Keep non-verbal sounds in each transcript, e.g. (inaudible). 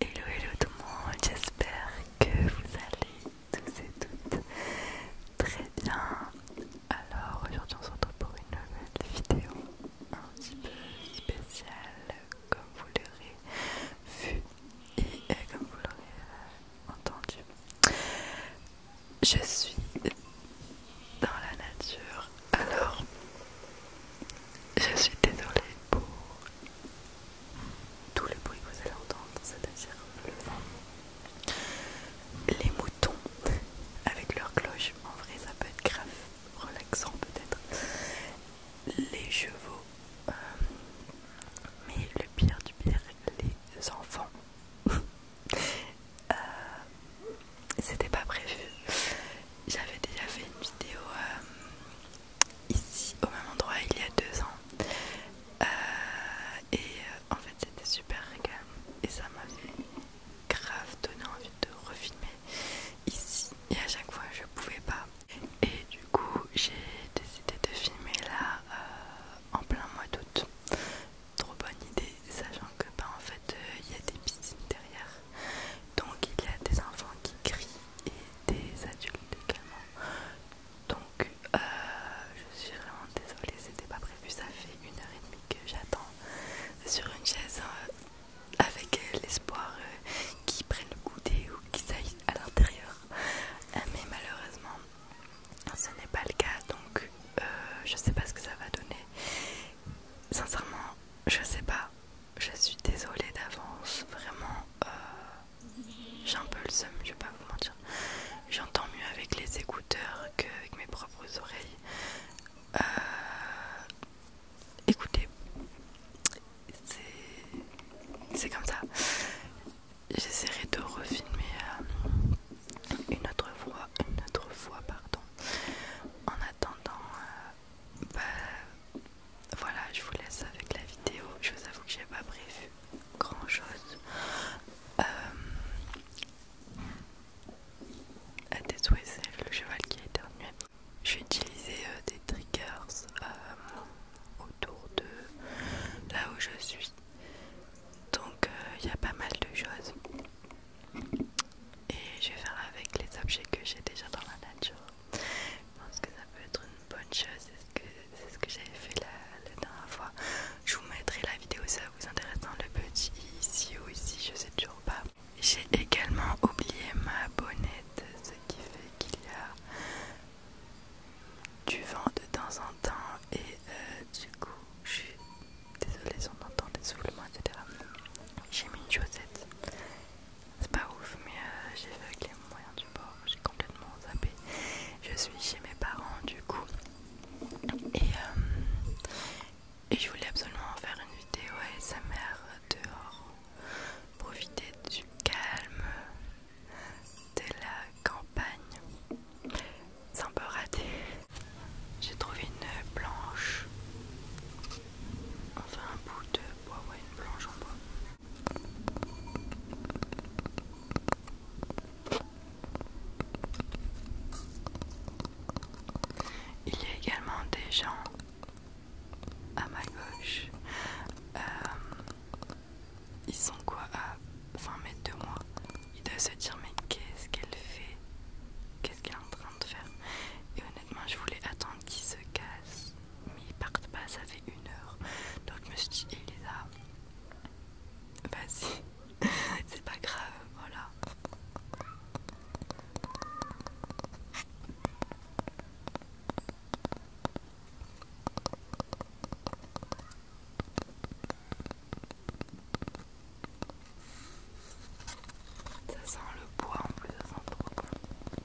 Hello hello tout le monde, j'espère que vous allez tous et toutes très bien. Alors aujourd'hui on se retrouve pour une nouvelle vidéo un petit peu spéciale comme vous l'aurez vu et euh, comme vous l'aurez euh, entendu. Je suis dans la nature alors je suis désolée pour tout le bruit que vous allez entendre, c'est-à-dire le vent, les moutons avec leurs cloches, en vrai ça peut être grave relaxant peut-être, les chevaux, euh, mais le pire du pire, les enfants. Euh, c'était pas prévu. J'avais déjà fait une vidéo euh, ici au même endroit il y a deux ans euh, et euh, en fait c'était super régal et ça m'avait grave donner envie de refilmer ici et à chaque fois je pouvais pas et du coup j'ai décidé de filmer là euh, en plein mois d'août trop bonne idée sachant que bah en fait il y a des piscines derrière donc il y a des enfants qui crient et des adultes également. Donc euh, je suis vraiment désolée, c'était pas prévu. Ça fait une heure et demie que j'attends sur une chaise euh, avec l'espoir euh, qu'ils prennent le goûter ou qu'ils aillent à l'intérieur. mais malheureusement, ce n'est pas le cas donc je je sais pas ce que ça va donner. Sincèrement, je sais pas je suis désolée d'avance, vraiment, euh, j'ai un peu le seum, je vais pas vous mentir. J'entends mieux avec les écouteurs qu'avec mes propres oreilles. Euh, écoutez, c'est comme ça. J'essaierai de refilmer euh, une autre fois, une autre fois, pardon. En attendant, bah, voilà, je vous laisse avec la vidéo. Je vous avoue que j'ai pas prévu grand chose. Euh... À le cheval qui a ennuyé. J'ai utilisé euh, des triggers euh, autour de là où je suis. Donc euh, il y a pas mal de choses. Et je vais faire avec les objets que j'ai déjà dans la nature. Je pense que ça peut être une bonne chose, c'est ce que, j'avais fait la, dernière fois. Je vous mettrai la vidéo, si ça vous intéresse dans le petit ici ou ici, je sais toujours pas. J'ai également oublié ma bonnette, ce qui fait qu'il y a du vent de temps en temps et euh, du coup je suis désolée si on entend des soufflements etc. J'ai mis une chaussette c'est pas ouf, mais euh, j'ai fait avec les moyens du bord, j'ai complètement zappé. Je suis chez mes parents du coup. Et, euh, et je voulais absolument faire une vidéo sa mère dehors. Profiter du calme de la campagne. C'est un peu raté. J'ai trouvé une planche. Enfin un bout de ouais, une planche en bois. Il y a également des gens à ma gauche. Euh, ils sont quoi à 20 mètres de moi Ils doivent se dire mais qu'est-ce qu'elle fait Qu'est-ce qu'elle est en train de faire Et honnêtement je voulais attendre qu'ils se cassent mais ils partent pas, ça fait une heure. Donc je me suis dit, Elisa, vas-y, (laughs) c'est pas grave, voilà. Ça sent le bois en plus, ça sent trop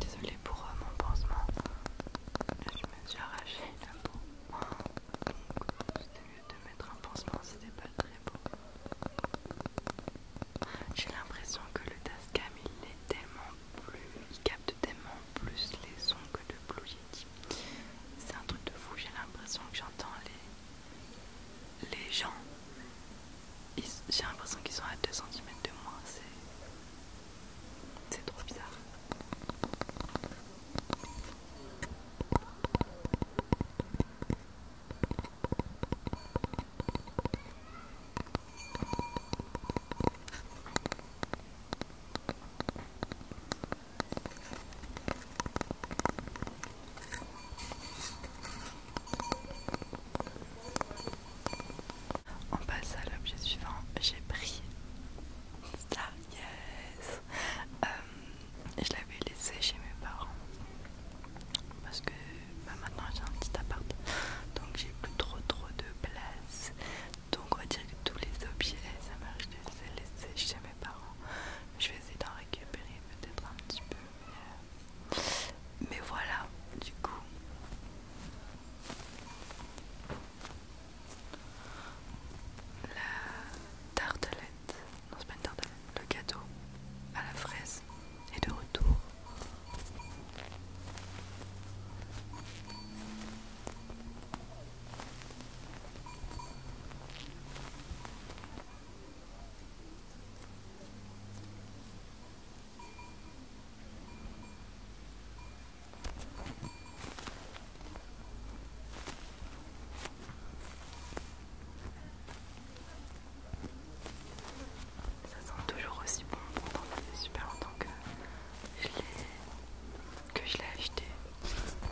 Désolée pour euh, mon pansement, je me suis arraché la peau, c'était mieux de mettre un pansement, c'était pas très beau. J'ai l'impression que le Tascam il est tellement plus, il capte tellement plus les sons que le Blue C'est un truc de fou, j'ai l'impression que j'entends les les gens, j'ai l'impression qu'ils sont à deux centimètres de moi, c'est trop bizarre. On passe à l'objet suivant. J'ai pris ça, yes euh, Je l'avais laissé chez mes parents parce que bah, maintenant j'ai un petit appart donc j'ai plus trop trop de place. Donc on va dire que tous les objets ça marche, de les laisser chez mes parents. Je vais essayer d'en récupérer peut-être un petit peu. Euh, mais, voilà, du coup. La tartelette, non c'est pas une tartelette, le gâteau à la fraise est de retour. Ça sent toujours aussi bon, fait super longtemps que je l'ai acheté. Mais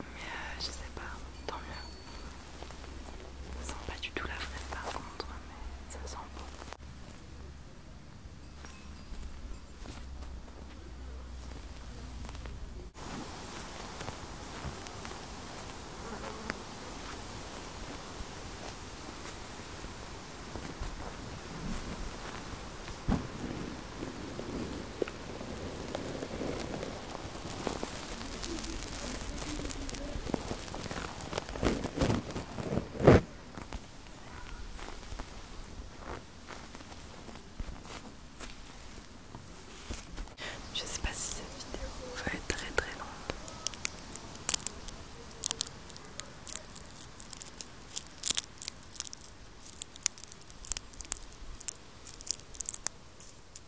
euh, je sais pas, tant mieux. Ça sent pas du tout la fraise par contre, mais ça sent bon. Je sais pas si cette vidéo va être très très longue.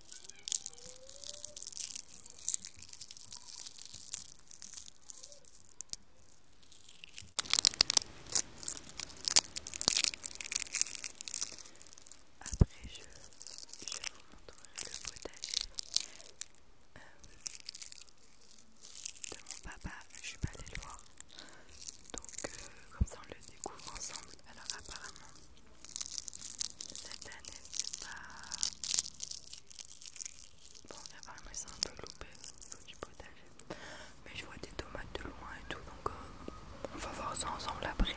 Après, je, vous montrerai le potager euh, de mon papa. Je suis pas allée le voir, donc euh, comme ça on le découvre ensemble. Alors apparemment, cette année, c'est pas. Bon, C'est un peu loupé au niveau du potager. Mais je vois des tomates de loin hein, et tout, donc euh, on va voir ça ensemble après.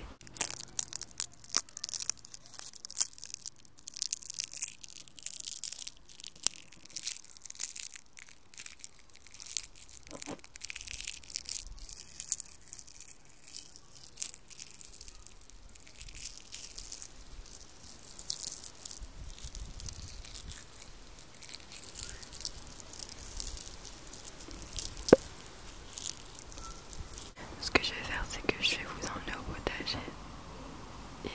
Ce que je vais faire, c'est que je vais vous emmener au potager et euh,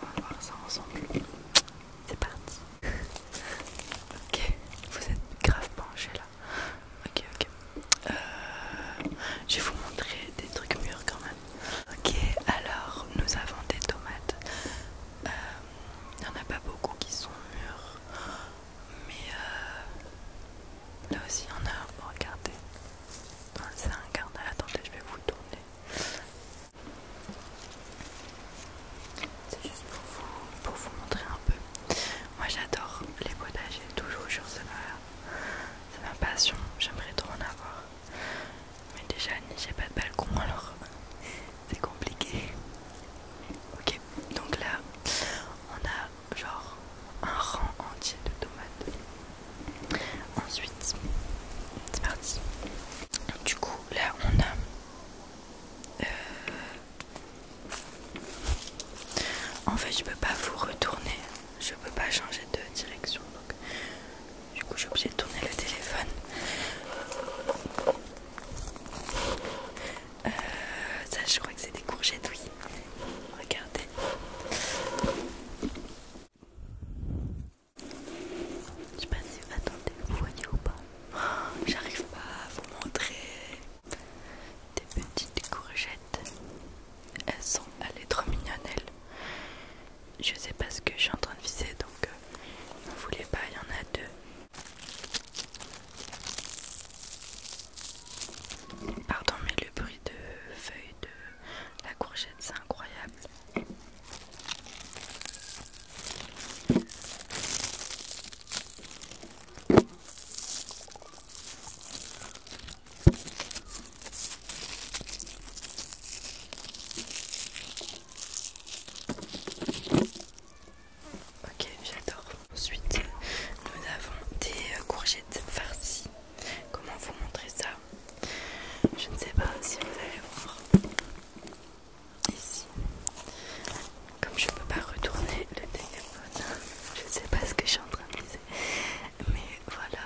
on va voir ça ensemble. C'est parti. (laughs) ok, vous êtes grave penché là. Ok, ok. Euh, je vais vous montrer des trucs mûrs quand même. Ok, alors nous avons des tomates. Il euh, n'y en a pas beaucoup qui sont mûres, mais euh, là aussi il y en a. Oh, regardez, c'est un carnet. Attendez, je vais vous tourner. C'est juste pour vous, pour vous montrer un peu. Moi j'adore les potagers, toujours sur ce c'est ma passion, j'aimerais trop en avoir. Mais déjà, j'ai pas de balcon alors (laughs) c'est compliqué. Ok, donc là, on a genre un rang entier de tomates. Ensuite, c'est parti. Du coup, là, on a. Euh... En fait, je peux pas vous retourner je peux pas changer de direction donc du coup j'ai obligé de tourner le téléphone euh, ça je crois que c'est des courgettes oui regardez je sais pas si attendez vous voyez ou pas oh, j'arrive pas à vous montrer des petites courgettes elles sont, allées trop mignonnelles Je sais pas ce que je suis en train de viser donc vous euh, voulez pas, il y en a deux. Pardon mais le bruit de feuilles de la courgette c'est incroyable. Ok, j'adore. Ensuite, nous avons des euh, courgettes farcies. Comment vous montrer ça Je ne sais pas si vous allez voir. Ici, comme je ne peux pas retourner le téléphone, hein, je ne sais pas ce que je suis en train de dire, mais voilà.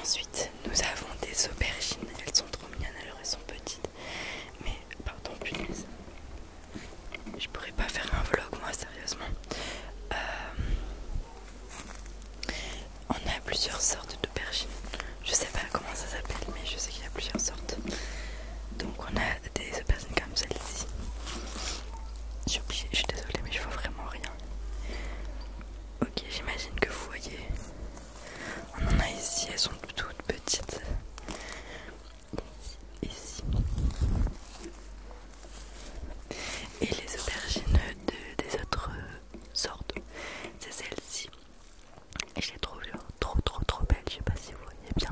Ensuite, nous avons des aubergines. Elles sont trop mignonnes, alors elles sont petites. Mais, pardon, punaise. Je pourrais pas faire un vlog, moi, sérieusement. Euh, on a plusieurs sortes d'aubergines. Je sais pas comment ça s'appelle, mais je sais qu'il y a plusieurs sortes. Donc, on a des aubergines comme celle-ci. Je suis je suis désolée, mais je vois vraiment rien. Ok, j'imagine que vous voyez. On en a ici, elles sont toutes petites. Ici. Et les aubergines des autres sortes, c'est celle-ci. Et je les trouve trop trop trop belle, je sais pas si vous voyez bien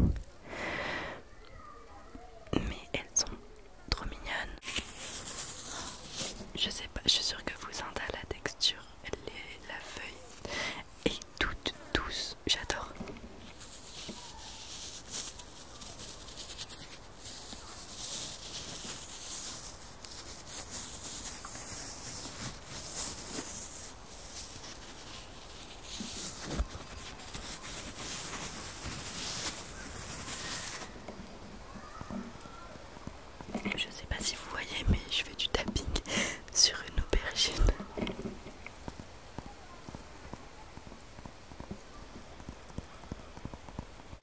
mais elles sont trop mignonnes. Je sais pas, je suis sûre que vous a la texture, est la feuille et toute douce j'adore. Je sais pas si vous voyez, mais je fais du tapping sur une aubergine.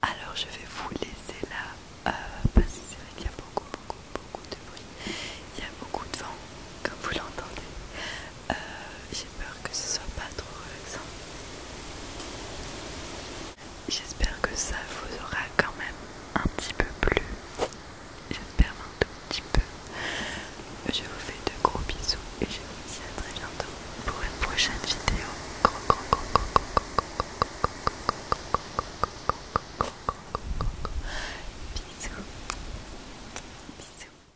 Alors je vais vous laisser là euh, parce que c'est vrai qu'il y a beaucoup beaucoup beaucoup de bruit. Il y a beaucoup de vent comme vous l'entendez. Euh, j'ai peur que ce soit pas trop relaxant. J'espère que ça vous aura quand même un petit peu plu. J'espère un tout petit peu. Je vous fais de gros bisous et je vous dis à très bientôt pour une prochaine vidéo. Bisous. Bisous.